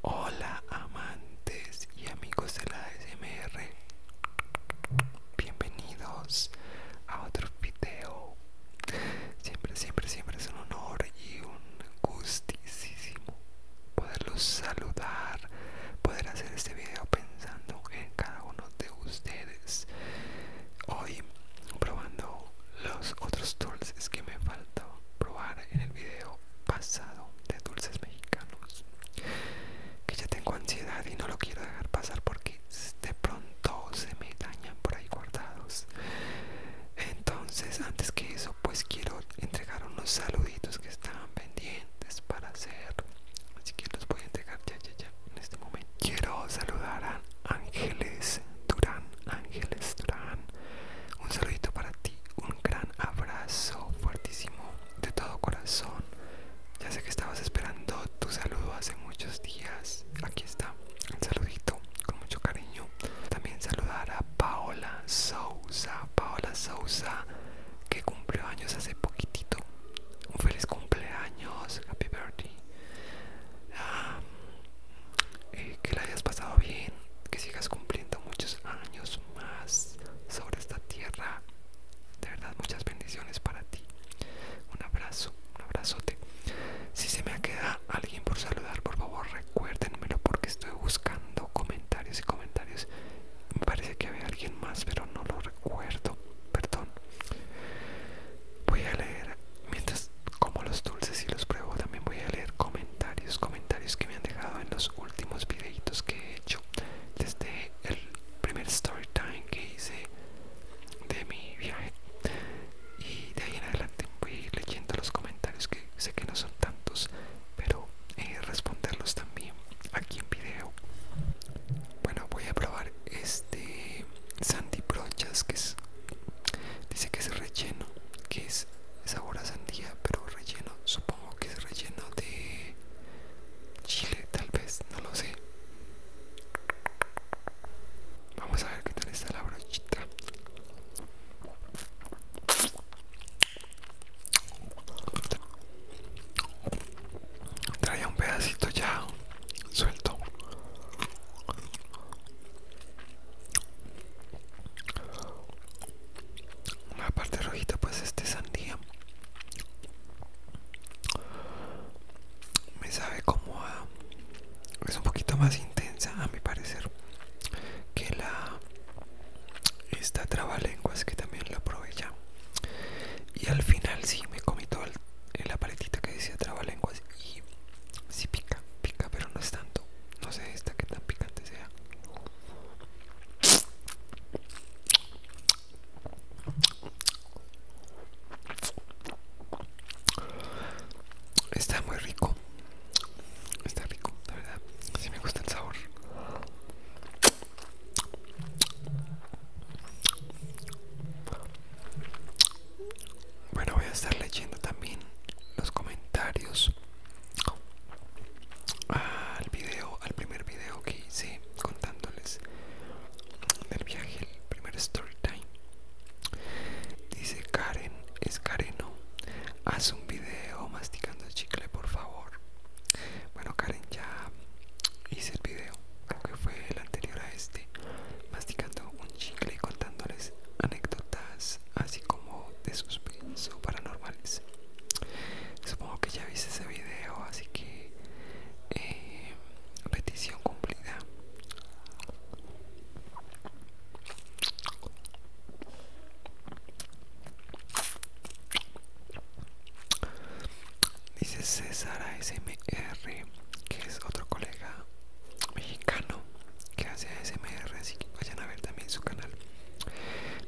Hola amantes y amigos de la ASMR Bienvenidos a otro video Siempre, siempre, siempre es un honor y un gustísimo Poderlos saludar Poder hacer este video pensando en cada uno de ustedes Hoy probando los otros tools que me faltan en el video pasado de dulces mexicanos que ya tengo ansiedad y no lo quiero dejar pasar porque de pronto se me dañan por ahí guardados entonces antes que eso pues quiero entregar unos saluditos que estaban pendientes para hacer así que los voy a entregar ya ya ya en este momento quiero saludar a Ángeles Durán Ángeles Durán un saludito para ti, un gran abrazo fuertísimo de todo corazón. Ya sé que estabas esperando tu saludo hace muchos días. Aquí está, el saludito con mucho cariño. También saludar a Paola Sousa, Paola Sousa, que cumplió años hace poquitito. Un feliz cumpleaños, happy birthday. Ah, eh, que la hayas pasado bien, que sigas cumpliendo muchos años más sobre esta tierra. De verdad, muchas bendiciones para ti. Un abrazo, un abrazote. Si se me queda alguien por saludar, por favor recuérdenmelo porque estoy buscando comentarios y comentarios. Me parece que había alguien más, pero no lo recuerdo. Perdón. Voy a leer mientras como los dulces y los pruebo también voy a leer comentarios comentarios que me han dejado en los últimos videitos que he hecho desde el primer story time que hice de mi viaje y de ahí en adelante voy leyendo los comentarios que sé que no son tantos pero eh, responderlos también aquí en video bueno voy a probar este sandy brochas que es dice que es relleno que es sabor a sandía pero relleno supongo que es relleno de chile tal vez no lo sé vamos a ver qué tal está la brochita traía un pedacito ya suelto la parte rojita pues este sandía me sabe como a es un poquito más intensa a mi parecer que la esta trabalenguas que también la probé ya y al final Si me comí toda la paletita que decía trabalenguas y sí pica pica pero no es tanto no sé esta que tan picante sea. Está muy rico. Está rico, la verdad. Si me gusta el sabor. Bueno, voy a estar leyendo también los comentarios al video, al primer video que hice contándoles del viaje, el primer story time. Dice Karen, es Kareno, haz un video masticando chicle por favor. Bueno Karen, ya hice el video, creo que fue el anterior a este, masticando chicle contándoles anécdotas así como de suspenso paranormales. Supongo que ya viste ese video, así que eh, petición cumplida. Dice César smr que es otro colega mexicano que hace ASMR, así que vayan a ver también su canal.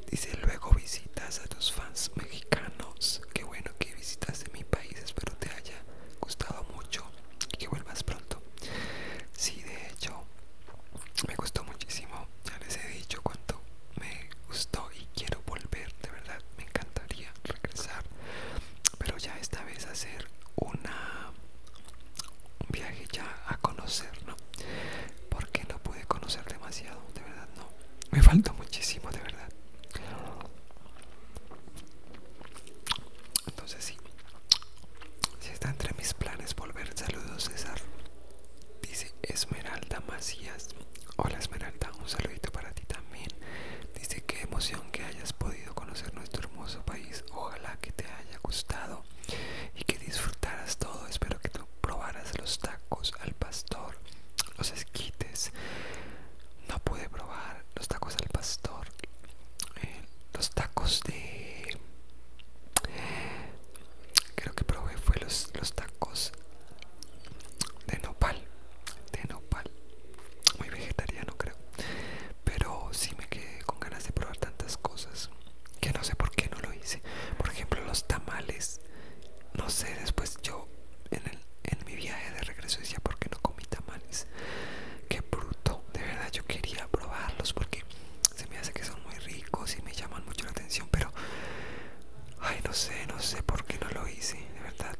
Dice, luego visitas a tus fans mexicanos. Qué bueno que visitaste mi país, espero te haya gustado mucho y que vuelvas pronto. Si de hecho, me gustó muchísimo, ya les he dicho cuánto me gustó y quiero volver, de verdad me encantaría regresar, pero ya esta vez hacer una un viaje ya a conocer, Porque no pude conocer demasiado, de verdad, no. Me falta muchísimo, de verdad. Entonces sí, si está entre mis planes volver, saludos César. Dice Esmeralda Macías. Hola Esmeralda, un saludito para ti también. Dice qué emoción que hayas podido conocer nuestro hermoso país. Ojalá que te haya gustado y que disfrutaras todo. Espero que tú probaras los tacos al pastor, los esquites. No pude probar los tacos al pastor, eh, los tacos de. Creo que probé fue los, los tacos de nopal, de nopal, muy vegetariano creo pero sí me quedé con ganas de probar tantas cosas que no sé por qué no lo hice. Por ejemplo, los tamales. No sé, después yo en, mi viaje de regreso decía, ¿por qué no comí tamales? Qué bruto. De verdad yo quería probarlos porque se me hace que son muy ricos y me llaman mucho la atención, pero... Ay, no sé, no sé por qué no lo hice. De verdad,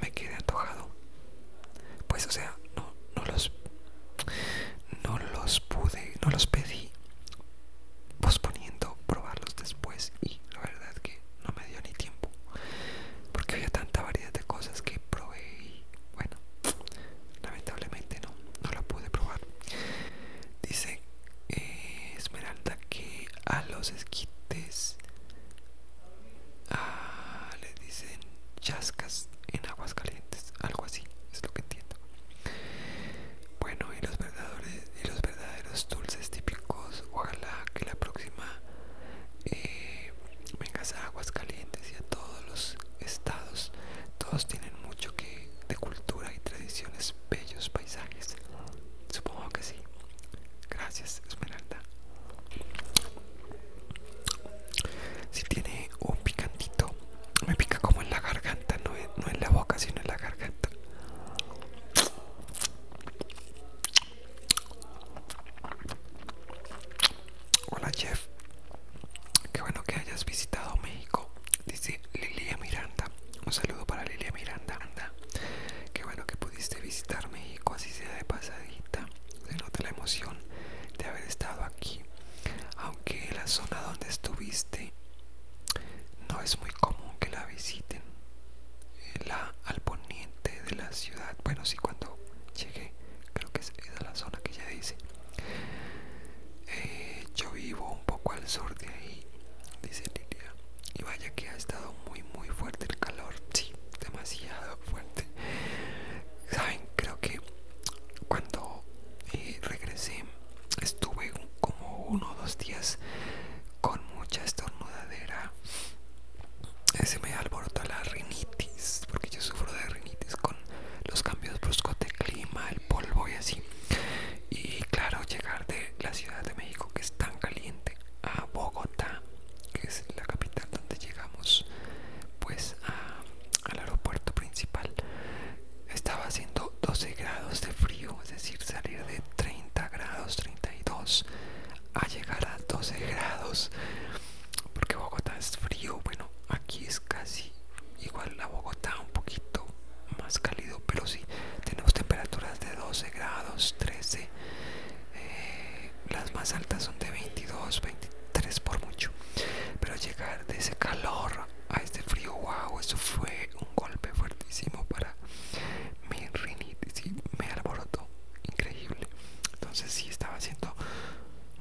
me quedé antojado. Pues o sea, no, no los no los pude, no los pedí posponiendo probarlos después y la verdad que no me dio ni tiempo porque había tanta variedad de cosas que probé y bueno lamentablemente no no la pude probar dice eh, esmeralda que a los esquites ah, le dicen chascas en aguas algo así, es lo que entiendo. Bueno, y los verdaderos, y los verdaderos dulces típicos, ojalá que la próxima eh, vengas a Calientes y a todos los estados, todos tienen mucho que de cultura y tradiciones, bellos paisajes. Supongo que sí. Gracias, Esmeralda. Si tiene un picantito, me pica como en la garganta, no, no en la boca, sino en la garganta. Hola chef qué bueno que hayas visitado México, dice Lilia Miranda. Un saludo para Lilia Miranda. Anda. Qué bueno que pudiste visitar México, así sea de pasadita. Se nota la emoción de haber estado aquí aunque la zona donde estuviste no es muy común que la visiten eh, la al poniente de la ciudad bueno si cuando llegué creo que es la zona que ya dice eh, yo vivo un poco al sur de ahí dice Lilia y vaya que ha estado muy muy fuerte el calor sí demasiado fuerte saben creo que cuando eh, regresé estuve como uno o dos días con mucha estornudadera eh, se me alborota la rinitis porque yo sufro de rinitis con los cambios bruscos de clima el polvo y así y claro llegar de la ciudad de México que es tan caliente a Bogotá que es la capital donde llegamos pues al aeropuerto principal estaba haciendo 12 grados de frío es decir salir de 30 grados 32 a llegar a 12 grados porque Bogotá es frío bueno aquí es casi igual a Bogotá un poquito más cálido pero si tenemos temperaturas de 12 grados 13 eh, las más altas son de 22, 23 por mucho. Pero llegar de ese calor a este frío, wow, eso fue un golpe fuertísimo para mi rinitis me alborotó. Increíble. Entonces sí estaba haciendo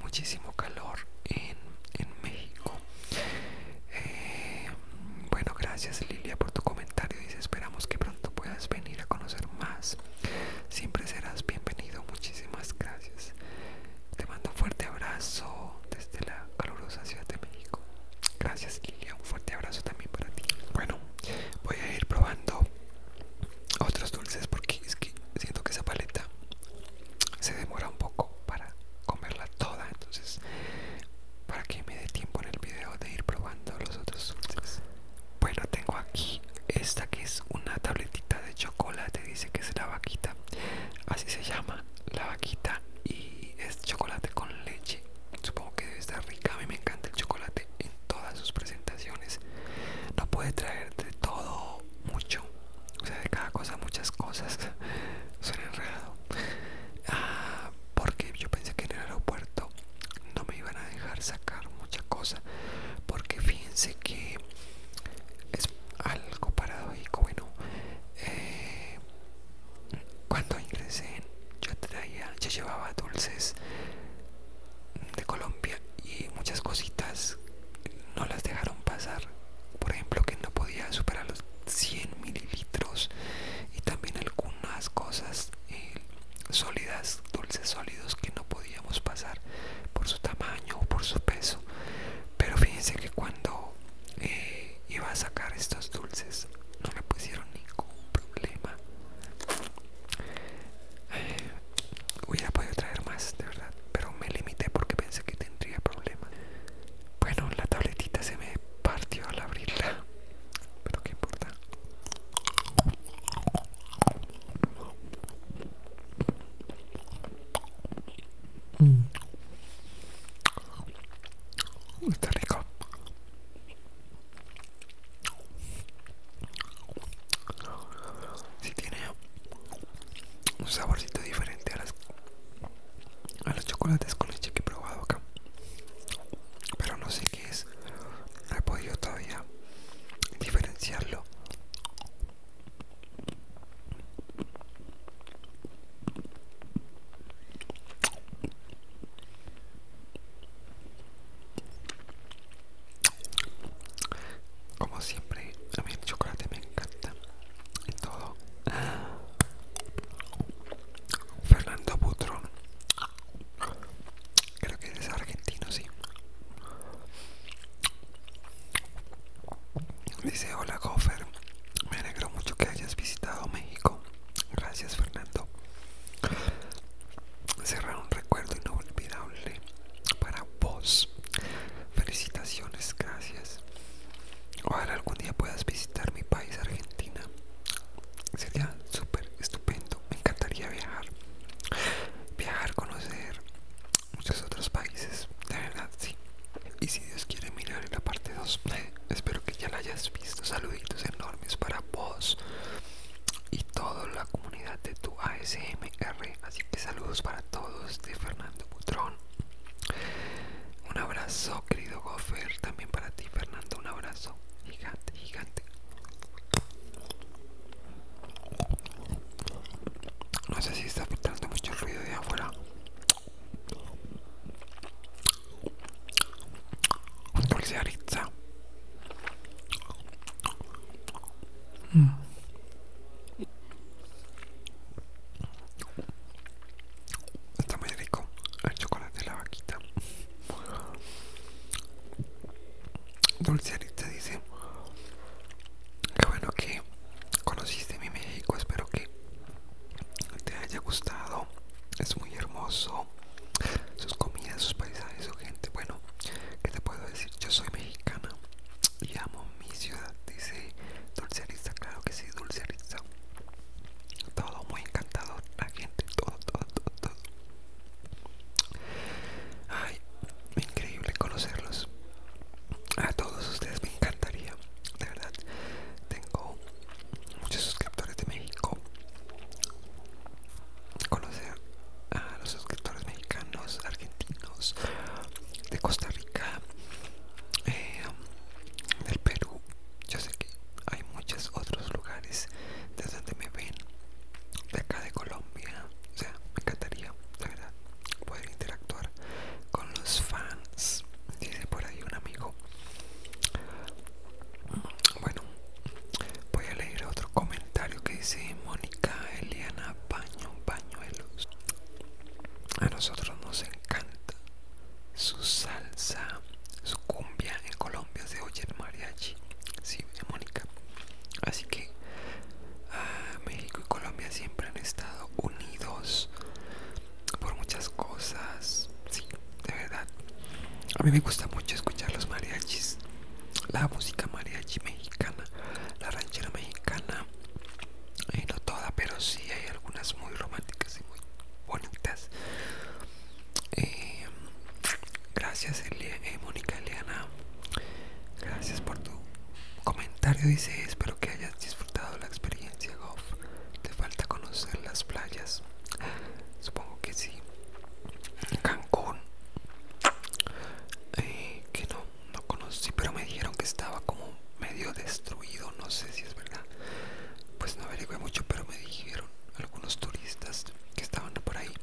muchísimo calor en, México. Eh, bueno, gracias Lilia por tu comentario. Dice, esperamos que pronto puedas venir a conocer más. Siempre serás bienvenido. Muchísimas gracias. Te mando un fuerte abrazo desde la calurosa Ciudad de México. Gracias Lilia, un fuerte abrazo también para ti. Bueno, voy a ir probando otros dulces porque es que siento que esa paleta se demora un poco para comerla toda. Entonces, para que me dé tiempo en el video de ir probando los otros dulces. Bueno, tengo aquí esta que es una tabletita de chocolate dice que es la vaquita. Así se llama la vaquita y es chocolate con leche. Supongo que debe estar rica. A mí me encanta el chocolate en todas sus presentaciones. No puede traer de todo mucho. O sea, de cada cosa muchas cosas. Suena enredado. Ah, porque yo pensé que en el aeropuerto no me iban a dejar sacar mucha cosa porque fíjense que es algo paradójico bueno eh, cuando ingresé yo traía yo llevaba dulces de Colombia y muchas cositas no las dejaron pasar por ejemplo que no podía superar los 100 mililitros y también algunas cosas eh, sólidas dulces sólidos que no podía podíamos pasar por su tamaño o por su peso pero fíjense que cuando eh, iba a sacar estos dulces no le pusieron ningún problema eh, hubiera podido traer más de verdad pero me limité porque pensé que tendría problemas bueno la tabletita se me partió al abrirla pero qué importa Mm. Está rico. Si tiene un saborcito diferente a las a los chocolates con leche que he probado acá. Pero no sé qué es. No he podido todavía diferenciarlo. Como siempre, a mí el chocolate me encanta en todo. Fernando Putron. Creo que eres argentino, sí. Dice, hola Gofer, me alegro mucho que hayas visitado México. Gracias Fernando. Cerrar un recuerdo inolvidable para vos. Felicitaciones, gracias. Ojalá algún día puedas visitar mi país, Argentina. Sería súper estupendo. Me encantaría viajar. Viajar, conocer muchos otros países. De verdad, sí. Y si Dios quiere mirar en la parte 2, espero que ya la hayas visto. Saluditos enormes para vos y toda la comunidad de tu ASMR. Así que saludos para todos de Fernando Cutrón. Un abrazo, querido Gofer También para ti, Fernando. Un abrazo gigante, gigante. No sé si está filtrando mucho ruido de afuera. Un dulce de Está muy rico el chocolate de la vaquita. Arista dice que bueno que conociste mi México Espero que te haya gustado Es muy hermoso Sus comidas, sus paisajes, su gente Bueno, ¿qué te puedo decir? Yo soy mexicana y amo mi ciudad Dice Arista, claro que sí, Arista. todo muy encantado, la gente, todo, todo, todo, todo. Ay, increíble conocerlos. A todos ustedes me encantaría, de verdad. Tengo muchos suscriptores de México. Conocer a los suscriptores mexicanos, argentinos, de Costa Rica, eh, del Perú. Yo sé que hay muchos otros lugares desde donde me ven, de acá de Colombia. O sea, me encantaría, la verdad, poder interactuar con los fans. Dice por ahí un amigo. Bueno, voy a leer otro comentario que dice Mónica Eliana Paño Pañuelos. A nosotros nos encanta su salsa, su cumbia en Colombia se oye el mariachi. Sí, Mónica, Así que ah, México y Colombia siempre han estado unidos por muchas cosas. Sí, de verdad. A mí me gusta mucho escuchar los mariachis, la música mariachi mexicana, la ranchera mexicana. Eh, no toda, pero sí hay algunas muy románticas y muy bonitas. Eh, Gracias, eh, Mónica Eliana. Gracias por tu comentario. Dice: Espero que hayas disfrutado la experiencia, Goff. Te falta conocer las playas. Supongo que sí. Cancún. Eh, que no, no conocí, pero me dijeron que estaba como medio destruido. No sé si es verdad. Pues no averigué mucho, pero me dijeron algunos turistas que estaban por ahí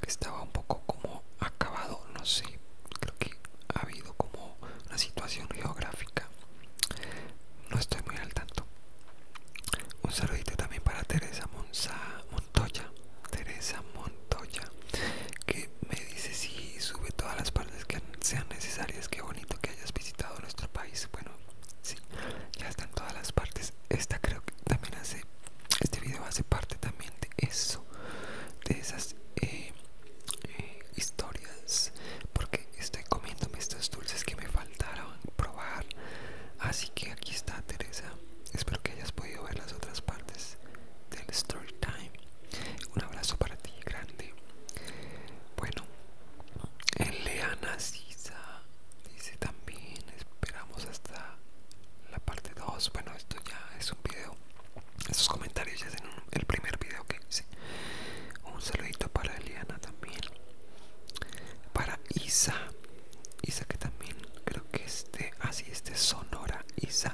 que estaba un poco como acabado no sé creo que ha habido como una situación geográfica no estoy muy al tanto un saludito también para Teresa Montoya Teresa Montoya que me dice si sube todas las partes que sean necesarias qué bonito que hayas visitado nuestro país bueno sí ya están todas las partes esta creo que también hace este video hace parte también de eso de esas eh, eh, historias porque estoy comiéndome estos dulces que me faltaron probar así que aquí está Teresa espero que hayas podido ver las otras partes del story time un abrazo para ti grande bueno Lea Sisa dice también esperamos hasta la parte 2 bueno esto ya es un video Esos comentarios ya es en el primer video que hice un saludito para Eliana también para Isa Isa que también creo que este así ah, este Sonora Isa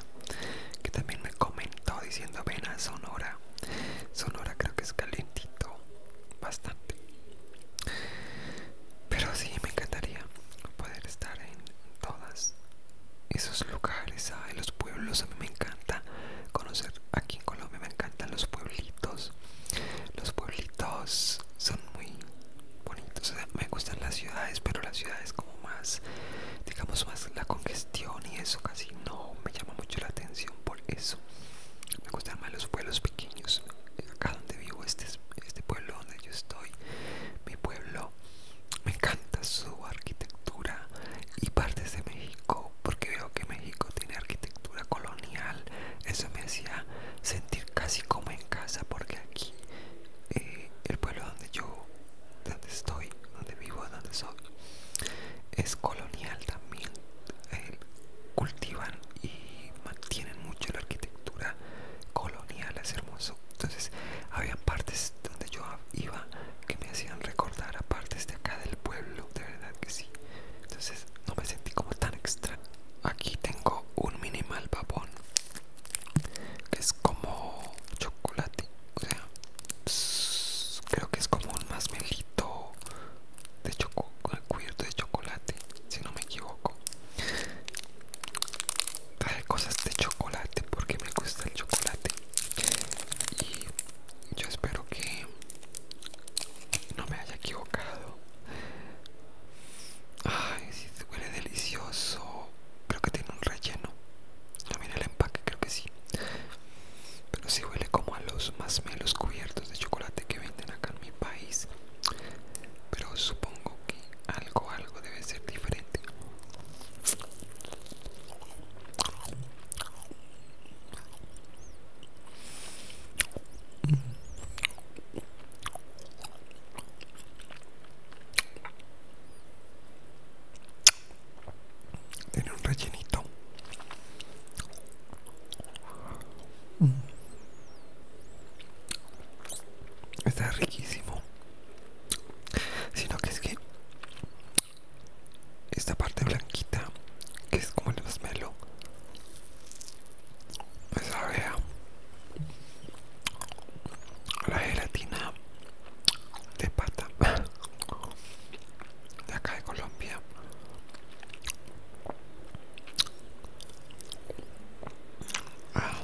que también me comentó diciendo ven a Sonora Sonora creo que es calentito bastante pero sí me encantaría estar en todas esos lugares, en los pueblos. A mí me encanta conocer aquí en Colombia, me encantan los pueblitos. Los pueblitos son muy bonitos. me gustan las ciudades, pero las ciudades como más, digamos, más la congestión y eso casi no me llama mucho la atención por eso. Me gustan más los pueblos pequeños. Acá donde vivo, este, este pueblo donde yo estoy, mi pueblo. Me encanta su arquitectura y partes de México, porque veo que México tiene arquitectura colonial. Eso me hacía sentir casi como en casa, porque aquí eh, el pueblo donde yo, donde estoy, donde vivo, donde soy, es colonial también. Eh, cultivan y mantienen mucho la arquitectura colonial es hermoso entonces habían partes donde yo iba que me hacían recordar a partes de acá del pueblo de verdad que sí entonces no me sentí como tan extra aquí tengo un minimal babón que es como chocolate o sea creo que es como un masmelito de choco, cubierto de chocolate si no me equivoco trae cosas de chocolate porque me gusta el chocolate y yo espero que no me haya equivocado ay si huele delicioso creo que tiene un relleno no mire el empaque creo que sí pero si huele como a los más cubiertos de chocolate que venden acá en mi país pero supongo que algo, algo debe ser diferente. Tiene un rellenito. Está riquísimo. Sino que es que esta parte blanquita, que es como el masmelo, pues sabe la gelatina de pata de acá de Colombia. Ah.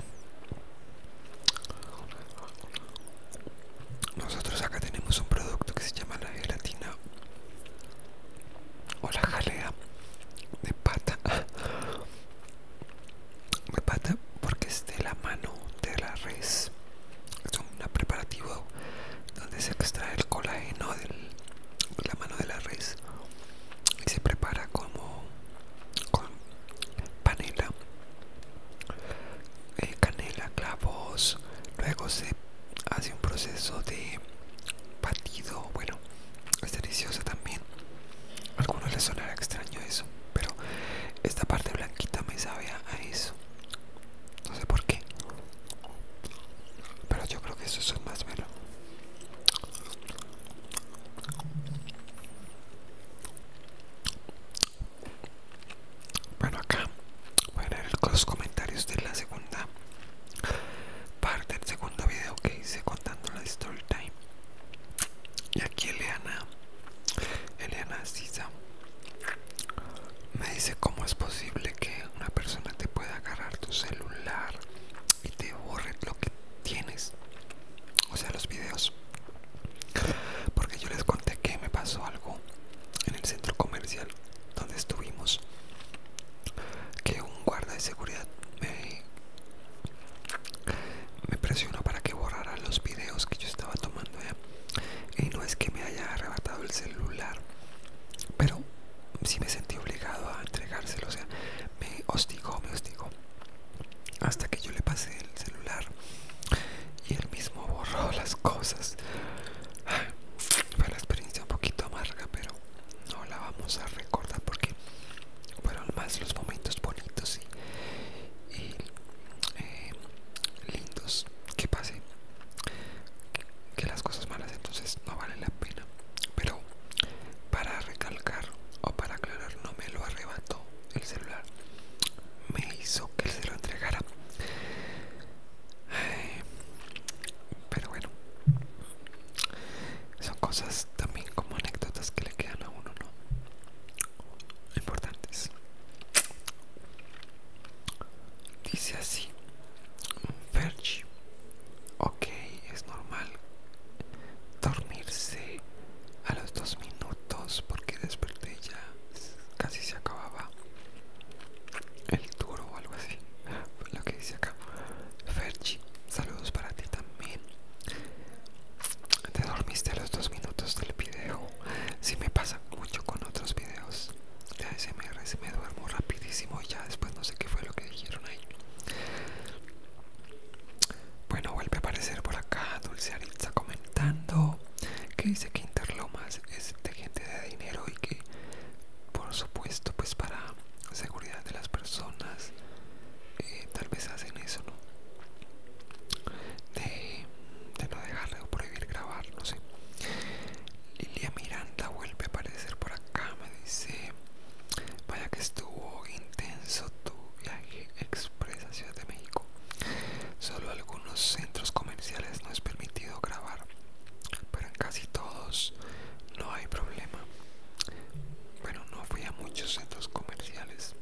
Nosotros acá tenemos un producto que se llama la gelatina o la jalea de pata. De pata porque es de la mano de la res. Es un preparativo donde se extrae el colágeno de la mano de la res y se prepara como con panela eh, canela clavos luego se hace un proceso de batido bueno es deliciosa también a algunos les sonará extraño eso pero esta parte blanquita me sabe a eso no sé por qué pero yo creo que eso es más bueno bueno, acá voy a leer los comentarios de la segunda parte del segundo video que hice contando la story time. Y aquí Eliana, Eliana Sisa, me dice cómo es posible que una persona te pueda agarrar tu celular y te borren lo que tienes o sea los videos porque yo les conté que me pasó algo en el centro comercial donde estuvimos que un guarda de seguridad me, presionó para que borrara los videos que yo estaba tomando y no es que me haya arrebatado el celular pero sí me sentí obligado a entregárselo o sea me hostigó, me hostigó. Hasta que yo le pasé el celular y él mismo borró las cosas. Fue la experiencia un poquito amarga, pero no la vamos a recordar porque fueron más los momentos bonitos y, eh, lindos que pasen que las cosas malas entonces no vale la pena pero para recalcar o para aclarar, no me lo arrebató el celular. Me hizo que se lo entregara. pero bueno, son cosas también como anécdotas que le quedan a uno, ¿no? Importantes. Dice así, Fergie. Ok, es normal dormirse a los dos minutos porque desperté ya casi se acababa el duro o algo así. Lo que dice acá. Ferchi, saludos para ti también. Te dormiste a los dos minutos del video. Si me pasa mucho con otros videos de ASMR, se me duermo rapidísimo y ya después no sé qué fue lo que dijeron ahí. Bueno, vuelve a aparecer por acá Dulce Aritza comentando que dice que Interlomas es de gente de dinero y que por supuesto pues para seguridad de las personas eh, tal vez hacen eso, ¿no? De, de no dejarle o prohibir grabar, no sé. Lilia Miranda vuelve a aparecer por acá, me dice Vaya que estuvo intenso tu viaje express a Ciudad de México. Solo algunos centros comerciales no es permitido grabar, pero en casi todos no hay problema. Bueno, no fui a muchos centros comerciales.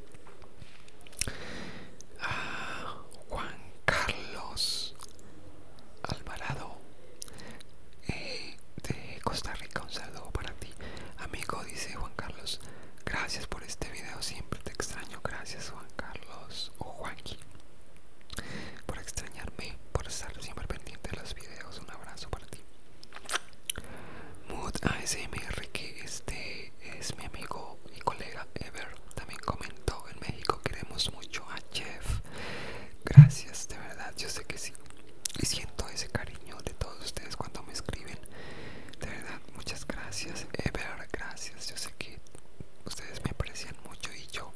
Ah, Juan Carlos Alvarado de Costa Rica. Un saludo para ti, amigo, dice Juan Carlos. Gracias por este video, siempre te extraño. Gracias, Juan Carlos o Juanqui, por extrañarme, por estar siempre pendiente de los videos. Un abrazo para ti. Mood ASMR, que este es mi amigo y colega Ever, también comentó en México. Queremos mucho a Jeff. Gracias, de verdad, yo sé que sí. Y siento ese cariño de todos ustedes cuando me escriben. De verdad, muchas gracias. Ever, eh, gracias. Yo sé que ustedes me aprecian mucho y yo.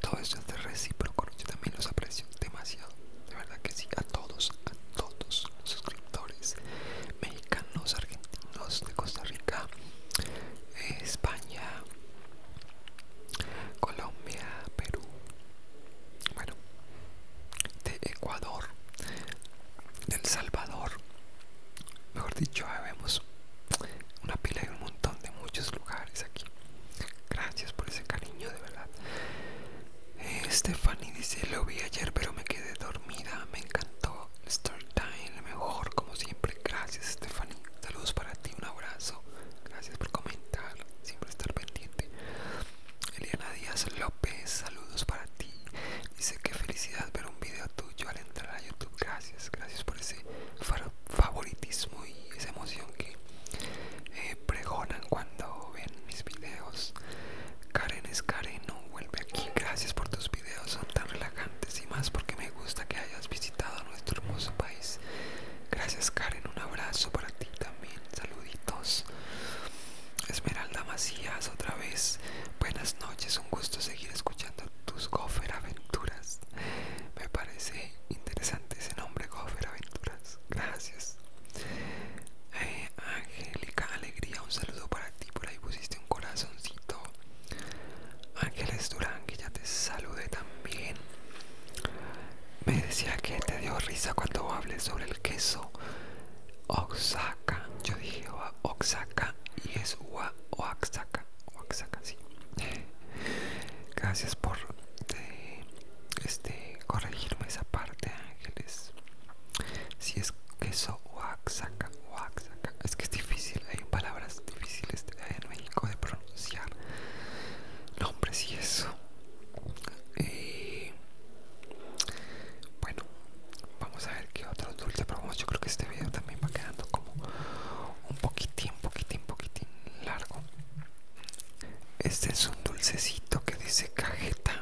Todo esto es de recíproco. Yo también los aprecio demasiado. De verdad que sí. A todos, a todos los suscriptores. Mexicanos, argentinos, de Costa Rica, eh, España. Colombia, Perú, bueno, de Ecuador, de El Salvador, mejor dicho, vemos una pila de un montón de muchos lugares aquí. Gracias por ese cariño, de verdad. Stephanie dice: Lo vi ayer, pero me quedé dormida. Me encantó. start time, lo mejor, como siempre. Gracias, Stephanie. Saludos para ti, un abrazo. Gracias por comentar, siempre estar pendiente. Eliana Díaz López, saludos para ti. Dice que felicidad ver un video tuyo al entrar a YouTube. Gracias, gracias por ese favoritismo y esa emoción que eh, pregonan cuando ven mis videos. Karen es no vuelve aquí. Gracias por tus videos, son tan relajantes y más porque me gusta que hayas visitado nuestro hermoso país gracias. Karen, un abrazo para ti también. Saluditos. Esmeralda Macías, otra vez. Buenas noches, un gusto seguir escuchando tus Gofer Aventuras. Me parece interesante ese nombre, Gofer Aventuras. Gracias. Eh, Angélica Alegría, un saludo para ti. Por ahí pusiste un corazoncito. Ángeles Durán, que ya te saludé también. Me decía que te dio risa cuando hablé sobre el queso Oaxaca. Yo dije Oaxaca y es Oaxaca. Oaxaca, sí. Gracias por este, corregirme esa parte, Ángeles. Si es queso Oaxaca, Oaxaca. Es que es difícil, hay palabras difíciles en México de pronunciar nombres y eso bueno vamos a ver qué otros dulces probamos yo creo que este video también va quedando como un poquitín poquitín poquitín largo este es un dulcecito que dice cajeta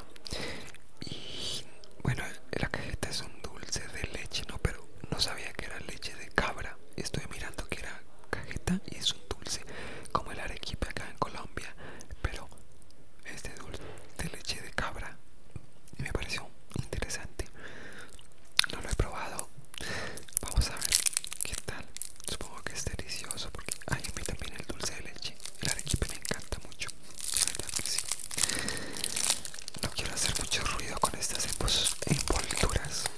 y bueno la cajeta es un dulce de leche no pero no sabía que era leche de cabra estoy mirando que era cajeta y es dulce como el arequipe acá en Colombia, pero este dulce de leche de cabra me pareció interesante. No lo he probado. Vamos a ver qué tal. Supongo que es delicioso porque hay a mí también el dulce de leche, el arequipe me encanta mucho. No quiero hacer mucho ruido con estas envolturas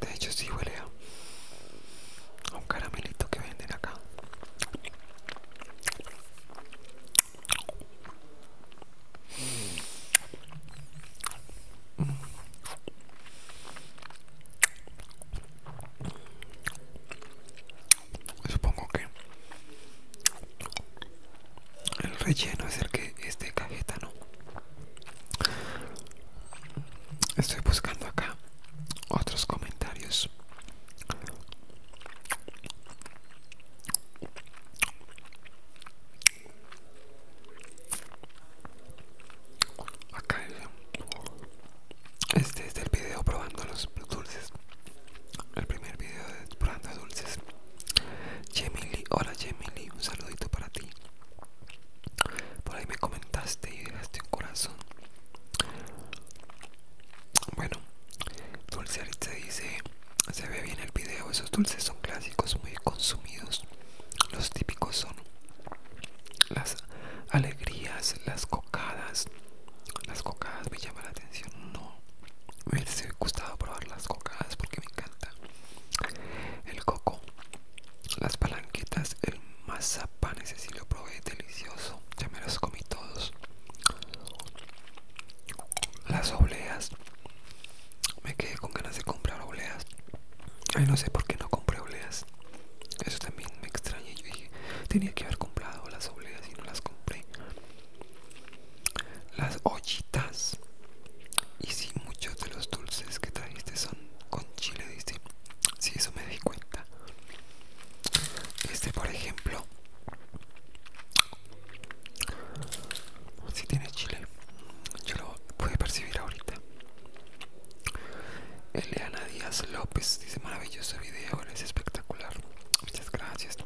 de hecho sí huele a un caramelito que venden acá. Supongo que el relleno es el que este cajeta, ¿no? Estoy buscando acá otros comentarios. Acá este es el video probando los dulces. El primer video de probando dulces. hola Jemily, un saludito para ti. Por ahí me comentaste y dejaste un corazón. Bueno, Dulce se dice: Se ve bien el video. Esos dulces son clásicos, muy consumidos. Los típicos son las alegrías, las cocadas. Las cocadas me llama la atención. No, me he gustado probar las cocadas porque me encanta el coco. Las palanquetas, el mazapán, ese sí lo probé, delicioso. Ya me las comí todos. Las obleas. Me quedé con ganas de comprar obleas. Ay, no sé por qué no compré obleas. Eso también me extraña. Yo dije, tenía que haber comprado las obleas y no las compré. Las ollitas. Y si muchos de los dulces que trajiste son con chile, dice. Si sí, eso me di cuenta. Este, por ejemplo, si tiene chile, yo lo pude percibir ahorita. Eliana Díaz López dice: maravilloso video, es espectacular. Muchas gracias.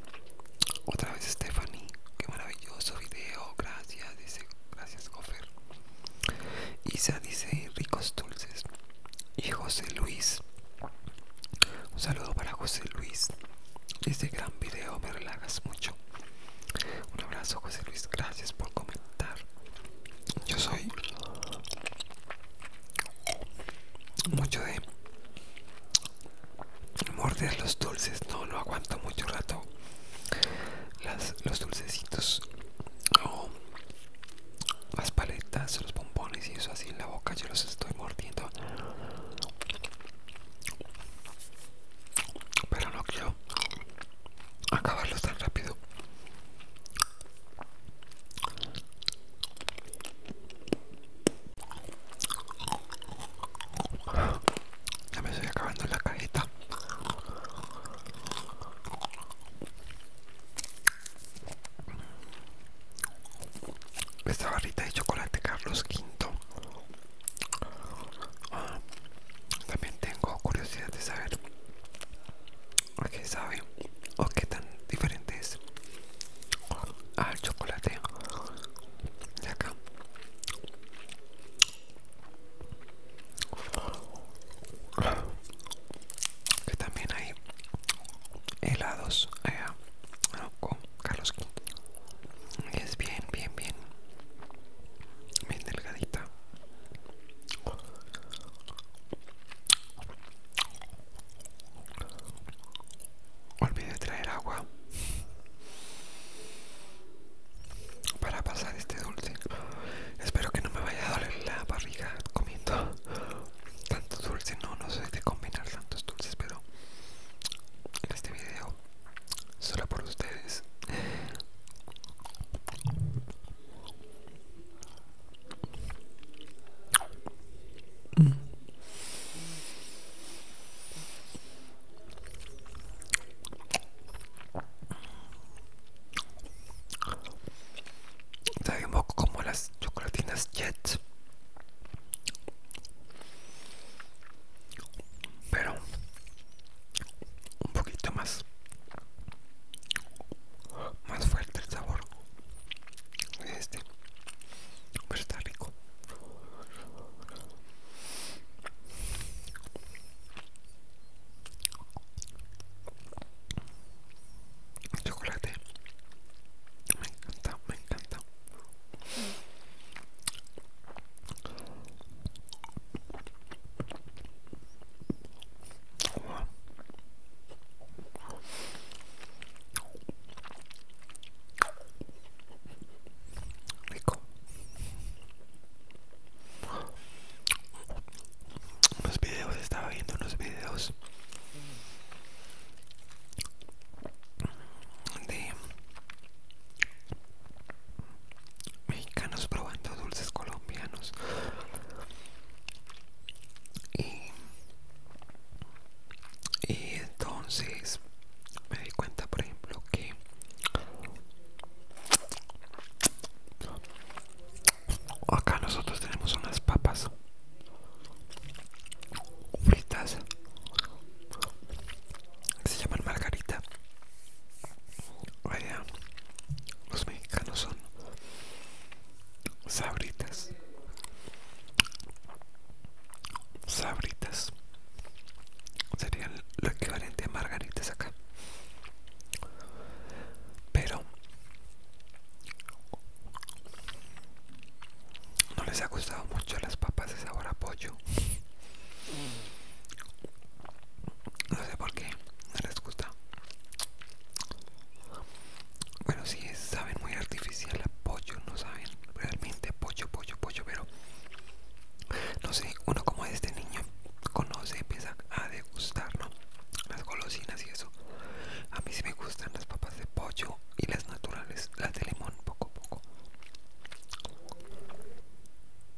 Otra vez, Stephanie, qué maravilloso video, gracias. Dice: gracias, Gofer. Isa dice ricos dulces. Y José Luis. Un saludo para José Luis. Este gran video me relajas mucho. Un abrazo José Luis. Gracias por comentar. Yo soy mucho de morder los dulces. No lo aguanto mucho rato las, los dulcecitos o las paletas, los bombones y eso así en la boca, yo los estoy mordiendo. Pero no quiero acabarlos tan rápido. Ya me estoy acabando la cajita Esta barrita de chocolate Carlos V. también tengo curiosidad de saber qué sabe o qué tan diferente es al chocolate de acá que también hay helados allá con Carlos quinto es bien bien bien bien delgadita olvidé traer agua para pasar este dulce. Espero que no me vaya a doler la barriga comiendo tanto dulce. No, no sé de combinar tantos dulces, pero en este video, solo por ustedes. Sabe un poco como las chocolatinas Jet, pero un poquito más, más fuerte el sabor. Este, pero está rico. Chocolate. Me encanta, me encanta. Rico unos videos, estaba viendo unos videos de mexicanos probando dulces colombianos y entonces me di cuenta por ejemplo que Acá nosotros tenemos unas papas fritas se llaman margarita. Vaya, los mexicanos son sabritas sabritas serían lo equivalente a margaritas acá pero no les ha gustado mucho las papas de sabor a pollo no sé por qué no les gusta bueno si sí, saben muy artificial a pollo no saben realmente pollo pollo pollo pero no sé, uno como este niño conoce, empieza a degustar, Las golosinas y eso. A mí sí me gustan las papas de pollo y las naturales, las de limón, poco a poco.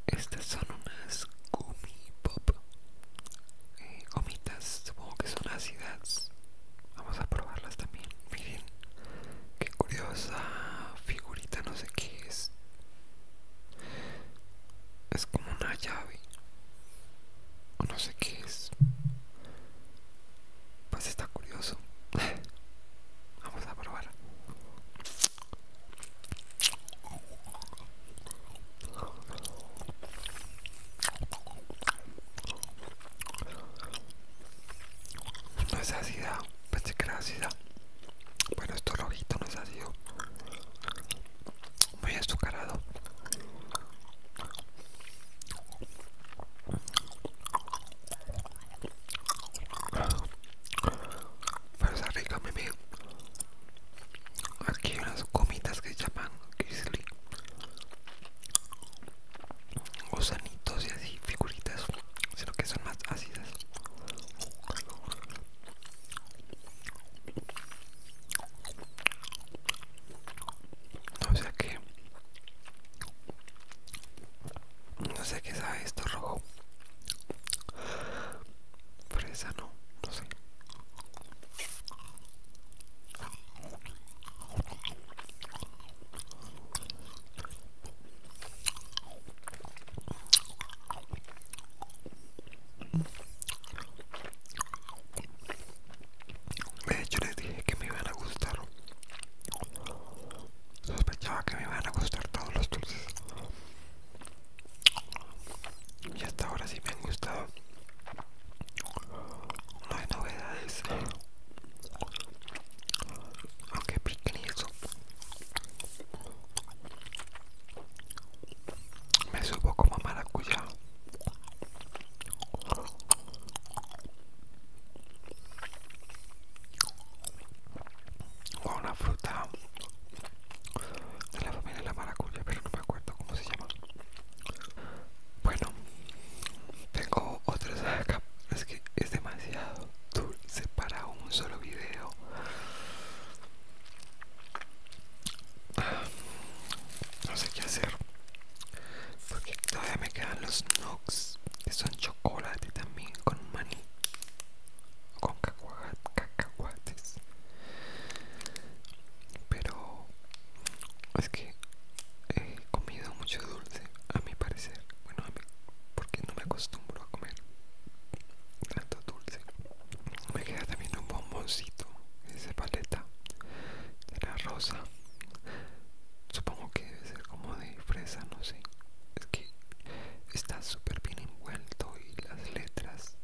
Estas son unas gummy pop. Eh, gomitas, supongo que son ácidas. Vamos a probarlas también. Miren, qué curiosa figurita, no sé qué es. Es como una llave. O no sé qué es. Pues está curioso. Vamos a probar. No es ácida. Pensé que era ácida. Bueno, esto rojito nos ha sido Muy azucarado. Pero está rica, Aquí hay unas gomitas que se llaman grizzly. Gusanitos y así, figuritas sino que son más ácidas. O sea que No sé qué sabe esto rojo. Fresa, no, no sé. De hecho les dije que me iban a gustar. Sospechaba que me iban a gustar todos los dulces. Y hasta ahora sí me han gustado. No hay novedades aunque pequeño, me subo como maracuyá o una fruta de la familia de la maracuya pero no me acuerdo cómo se llama bueno tengo otras acá es que es demasiado dulce para un solo video no sé qué hacer porque todavía me quedan los Nox que son chocolate también con maní con cacahuates pero es que he comido mucho a mi parecer. Bueno, a mí, porque no me acostumbro a comer tanto dulce. Me queda también un bomboncito esa paleta de la rosa. Supongo que debe ser como de fresa, no sé. Es que está súper bien envuelto y las letras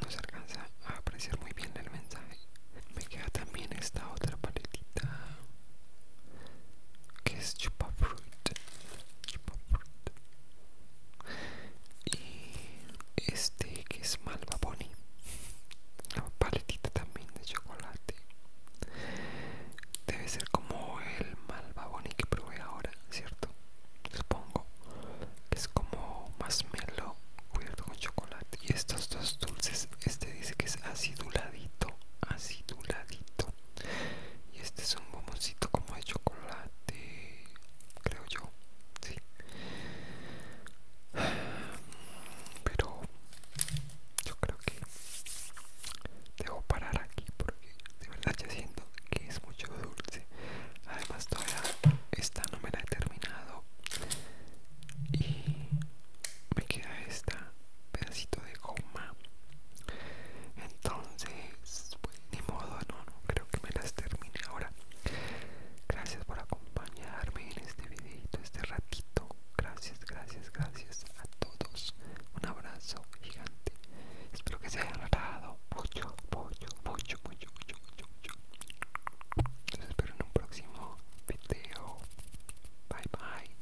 no se alcanza a apreciar muy bien el mensaje. Me queda también esta otra paletita que es chupa fruit, chupa y este que es malvavoni la paletita también de chocolate debe ser como el malvavoni que probé ahora cierto supongo que es como más melo cubierto con chocolate y estos dos dulces este dice que es aciduladito aciduladito y este es un bomboncito como de chocolate creo yo sí pero yo creo que debo parar aquí porque de verdad ya siento que es mucho dulce además todavía esta no me la he terminado y me queda esta pedacito de goma entonces pues, ni modo no, no creo que me las termine ahora gracias por acompañarme en este videito este ratito gracias gracias gracias a todos un abrazo gigante espero que se hayan agradado mucho mucho mucho mucho mucho mucho mucho los espero en un próximo video bye bye